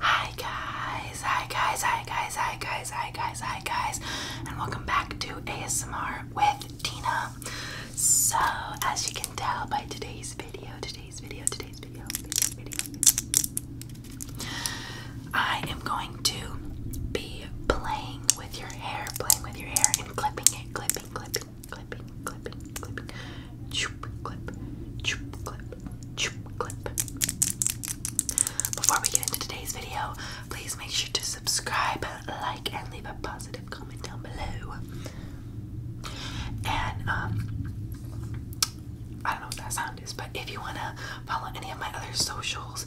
Hi guys, hi guys, hi guys, hi guys, hi guys, hi guys, and welcome back to ASMR with Tina. So, as you can tell by today's video, today's video, today's video, today's video, I am going to be playing with your hair, playing with your hair, and clipping it, clipping, clipping, clipping, clipping, clipping, Choop clip, choop clip, choop clip. Before we get into today's video, please make sure to subscribe, like, and leave a positive comment down below. And um, I don't know what that sound is, but if you wanna follow any of my other socials,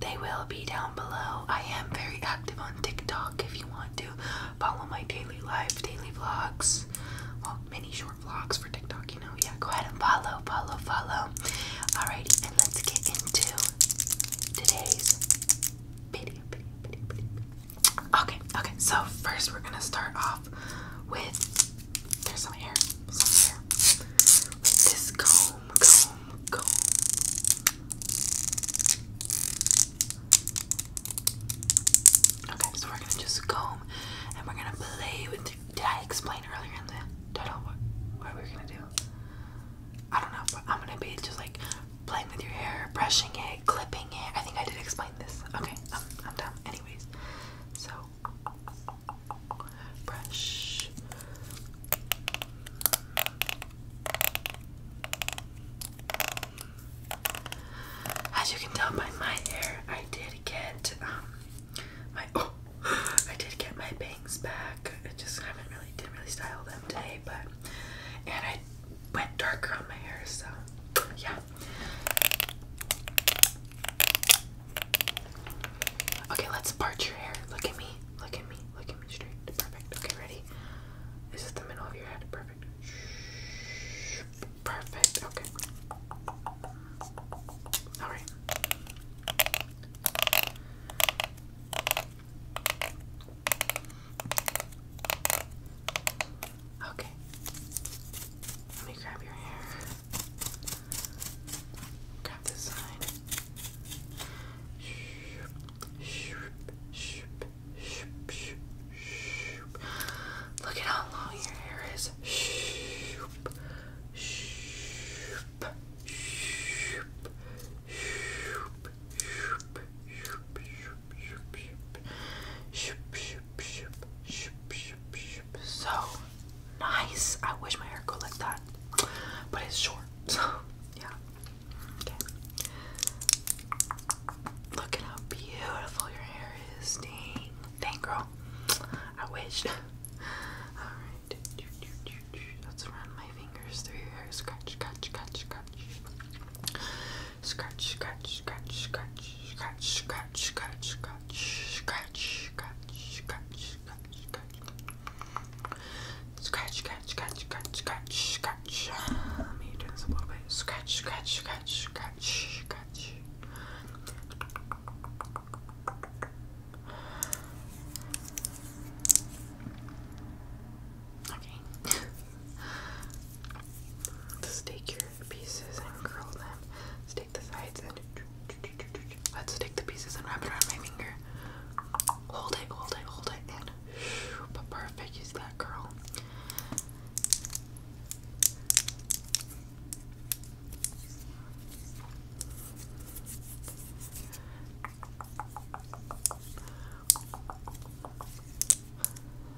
they will be down below. I am very active on TikTok. If you want to follow my daily life, daily vlogs, many short more vlogs for TikTok, you know. Yeah, go ahead and follow, follow, follow. Alrighty, and let's get into today's video, video, video, video. Okay, okay, so first we're gonna start off with there's some hair, some hair. With this comb, comb, comb. Okay, so we're gonna just comb and we're gonna play with. Did I explain earlier in the title what, we are gonna do? I don't know, but I'm gonna be just like playing with your hair, brushing it, clipping it. I think I did explain this. Okay, I'm, I'm done. Anyways, so brush. As you can tell by my hair, I did get um my oh I did get my bangs back. I just haven't really didn't really style them today, but and I went darker on my hair, so yeah. Okay, let's part your hair. Look at me. Look at me. Look at me straight. Perfect. Okay, ready? This Is the middle of your head? Perfect. Perfect. Okay. All right. Okay. Let me grab your hair. Grab this side. Shroop, shroop, shroop, Look at how long your hair is. So nice. I wish my hair could like that, but it's short. So yeah. Okay. Look at how beautiful your hair is. Dang. Dang, girl. I wish. Alright. Let's run my fingers through your hair. Scratch, scratch, scratch, scratch. Scratch, scratch, scratch, scratch. Scratch, scratch, scratch, scratch. Scratch, scratch, scratch, scratch, scratch. Scratch, scratch, scratch, scratch, scratch, scratch. Let me turn this a little bit. Scratch, scratch, scratch, scratch, scratch. Okay. Let's take your pieces and curl them. Let's take the sides and let's take the pieces and wrap it around my finger. Hold it, hold it, hold it, but perfect is that girl.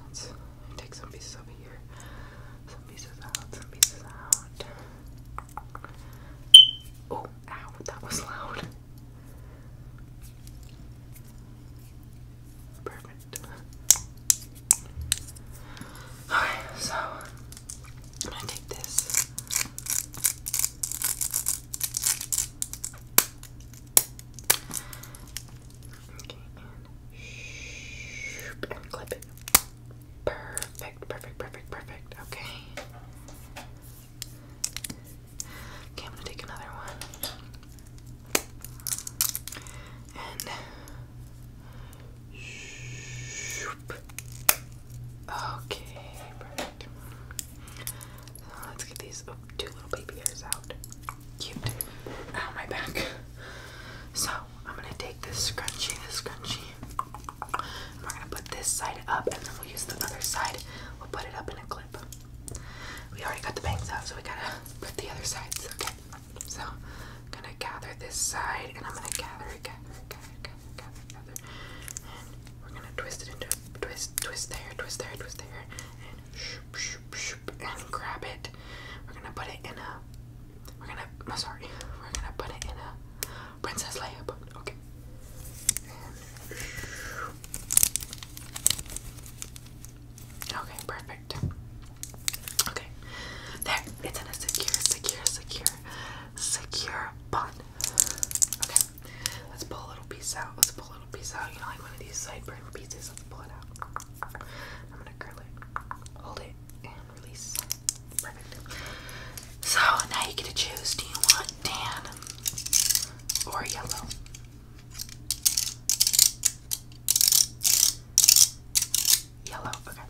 Let's take some pieces over here, some pieces out, some pieces out. Oh, ow, that was loud. Perfect. Okay, so I'm gonna take this. Okay, and clip it. Perfect, perfect, perfect, perfect. Okay. Okay, I'm gonna take another one. And. Okay, perfect. let's get these oh, two little baby hairs out. Cute. Ow, my back. So, I'm gonna take this scrunchie, this scrunchie. we're gonna put this side up and then we'll use the other side. We'll put it up in a clip. We already got the bangs out, so we gotta put the other sides. Okay, so I'm gonna gather this side, and I'm gonna gather, gather, again, gather, gather, gather, and we're gonna twist it into a twist, twist there, twist there, twist there, and shoop, shoop, shoop, and grab it. We're gonna put it in a. We're gonna. No, sorry. We're gonna put it in a princess layup. Okay. Okay, perfect. Okay, there. It's in a secure, secure, secure, secure bun. Okay, let's pull a little piece out. Let's pull a little piece out. You know, like one of these sideburn pieces. pull it out. I'm gonna curl it, hold it, and release. Perfect. So now you get to choose. Do you want tan or yellow. Yellow, okay.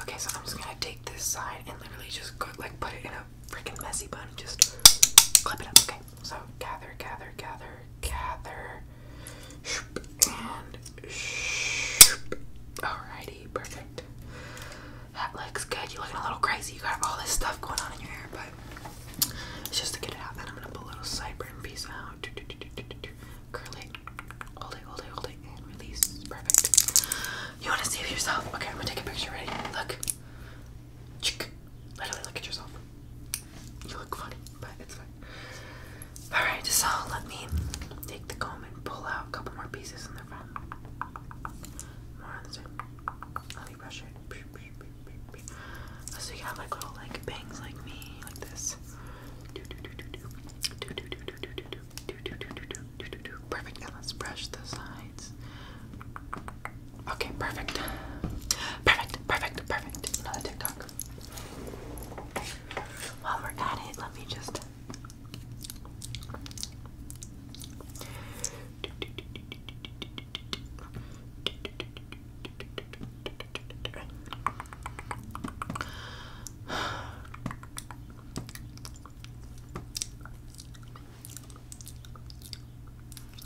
Okay, so I'm just gonna take this side and literally just like put it in a freaking messy bun and just clip it up, okay? So gather, gather, gather, gather. And alrighty, perfect. That looks good. You're looking a little crazy. You got all this stuff going on in your hair, but it's just to get it out. Then I'm gonna put a little sideburn piece out. Curl it, hold it, hold it, hold it, and release. Perfect. You wanna save yourself? Okay, I'm gonna take a picture. Ready? Look. Literally look at yourself. You look funny, but it's fine. Alright, so let me take the comb and pull out a couple more pieces in the front. More on the side. Let me brush it. So you have like little like bangs like me, like this. Perfect. And let's brush the sides. Okay, perfect. Perfect, perfect, perfect. Another TikTok. While we're at it, let me just.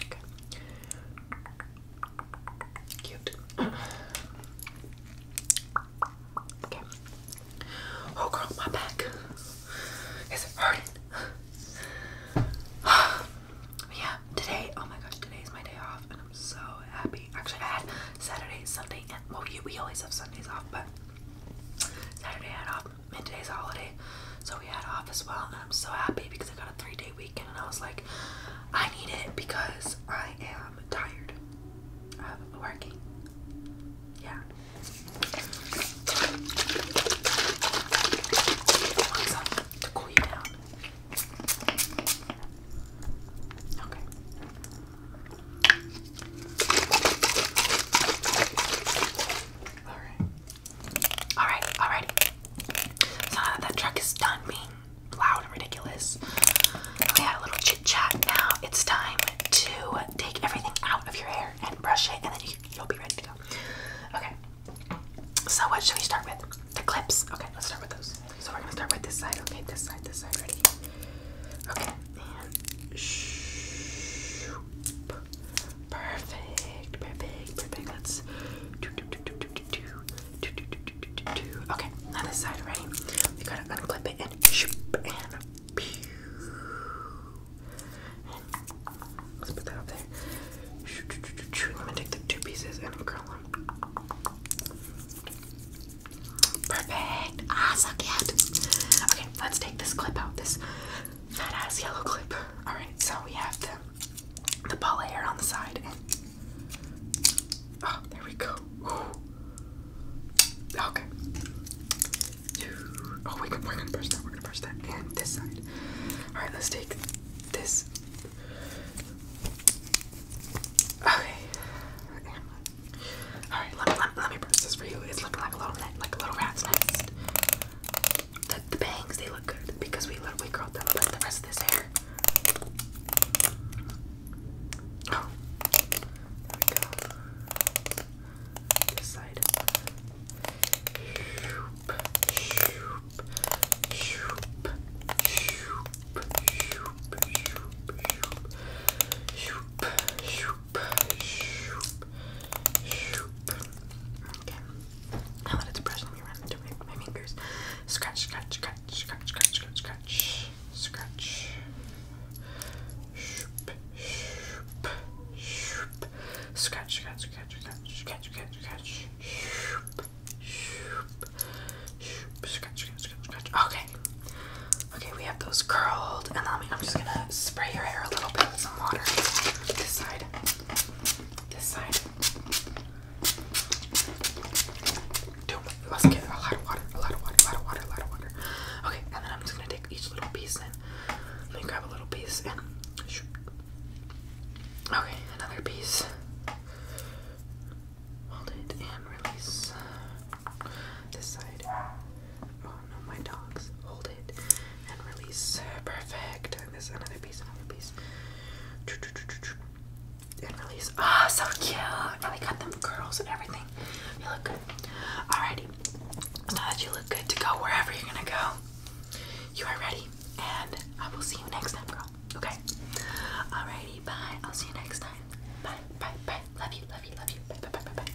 Okay. Cute. okay. Oh girl, my back is hurting. yeah, today, oh my gosh, today's my day off and I'm so happy. Actually, I had Saturday, Sunday, and well, we always have Sundays off, but Saturday I had off and today's a holiday, so we had off as well. And I'm so happy because I got a three day weekend, and I was like, I need it because I am tired of working. Yeah. I want to cool you down. Okay. All right. Alright, alright. So now that that truck is done being loud and ridiculous, we had a little chit chat. Now it's time to take everything out of your hair and brush it, and then you, will be ready to go. Okay. So what should we start with? The clips. Okay, let's start with those. So we're gonna start with this side. Okay, this side, this side, ready? Okay, and shoo, Perfect, perfect, perfect. Let's do do do do do do do do do do do do Okay, now this side, We gotta unclip it and shoop and pew. Let's put that up there. I'm take the two pieces and curl them. Perfect. Ah, so cute. Okay, let's take this clip out. This fat ass yellow clip. Alright, so we have the the ball hair on the side and oh there we go. Okay. Oh we can, we're gonna brush that, we're gonna brush that. And this side. Alright, let's take this. Okay. Alright, let me, let, me brush this for you. It's looking like a little net, like a little rat's nest. The, bangs, they look good because we literally curled them, but the rest of this hair. Oh, there we go. side. Shoop, shoop, shoop, shoop, shoop, shoop, shoop, shoop, shoop shoop, shoop, shoop. Okay. Now that it's brushing me around into my fingers, scratch, scratch, scratch, scratch, scratch, scratch, scratch, scratch. Shoop, shoop, shoop. Scratch, scratch, scratch, scratch, scratch, scratch, scratch. Shoop, shoop, shoop. Scratch, scratch, scratch, scratch. Okay. Okay, we have those curls. And then I'm just gonna spray your hair a little bit with some water. This side. This side. Okay, and then I'm just gonna take each little piece and let me grab a little piece Okay, another piece. Hold it and release this side. Oh no, my dogs. Hold it and release. Perfect. And this another piece, another piece. And release. Ah, oh, so cute. And they cut them curls and everything. You look good. Alrighty. Now that you look good to go wherever you're gonna go, you are ready. And I will see you next time, girl. Okay. Alrighty. Bye. I'll see you next time. Bye. Bye. Bye. Love you. Love you. Love you. Bye. Bye. Bye. Bye. bye.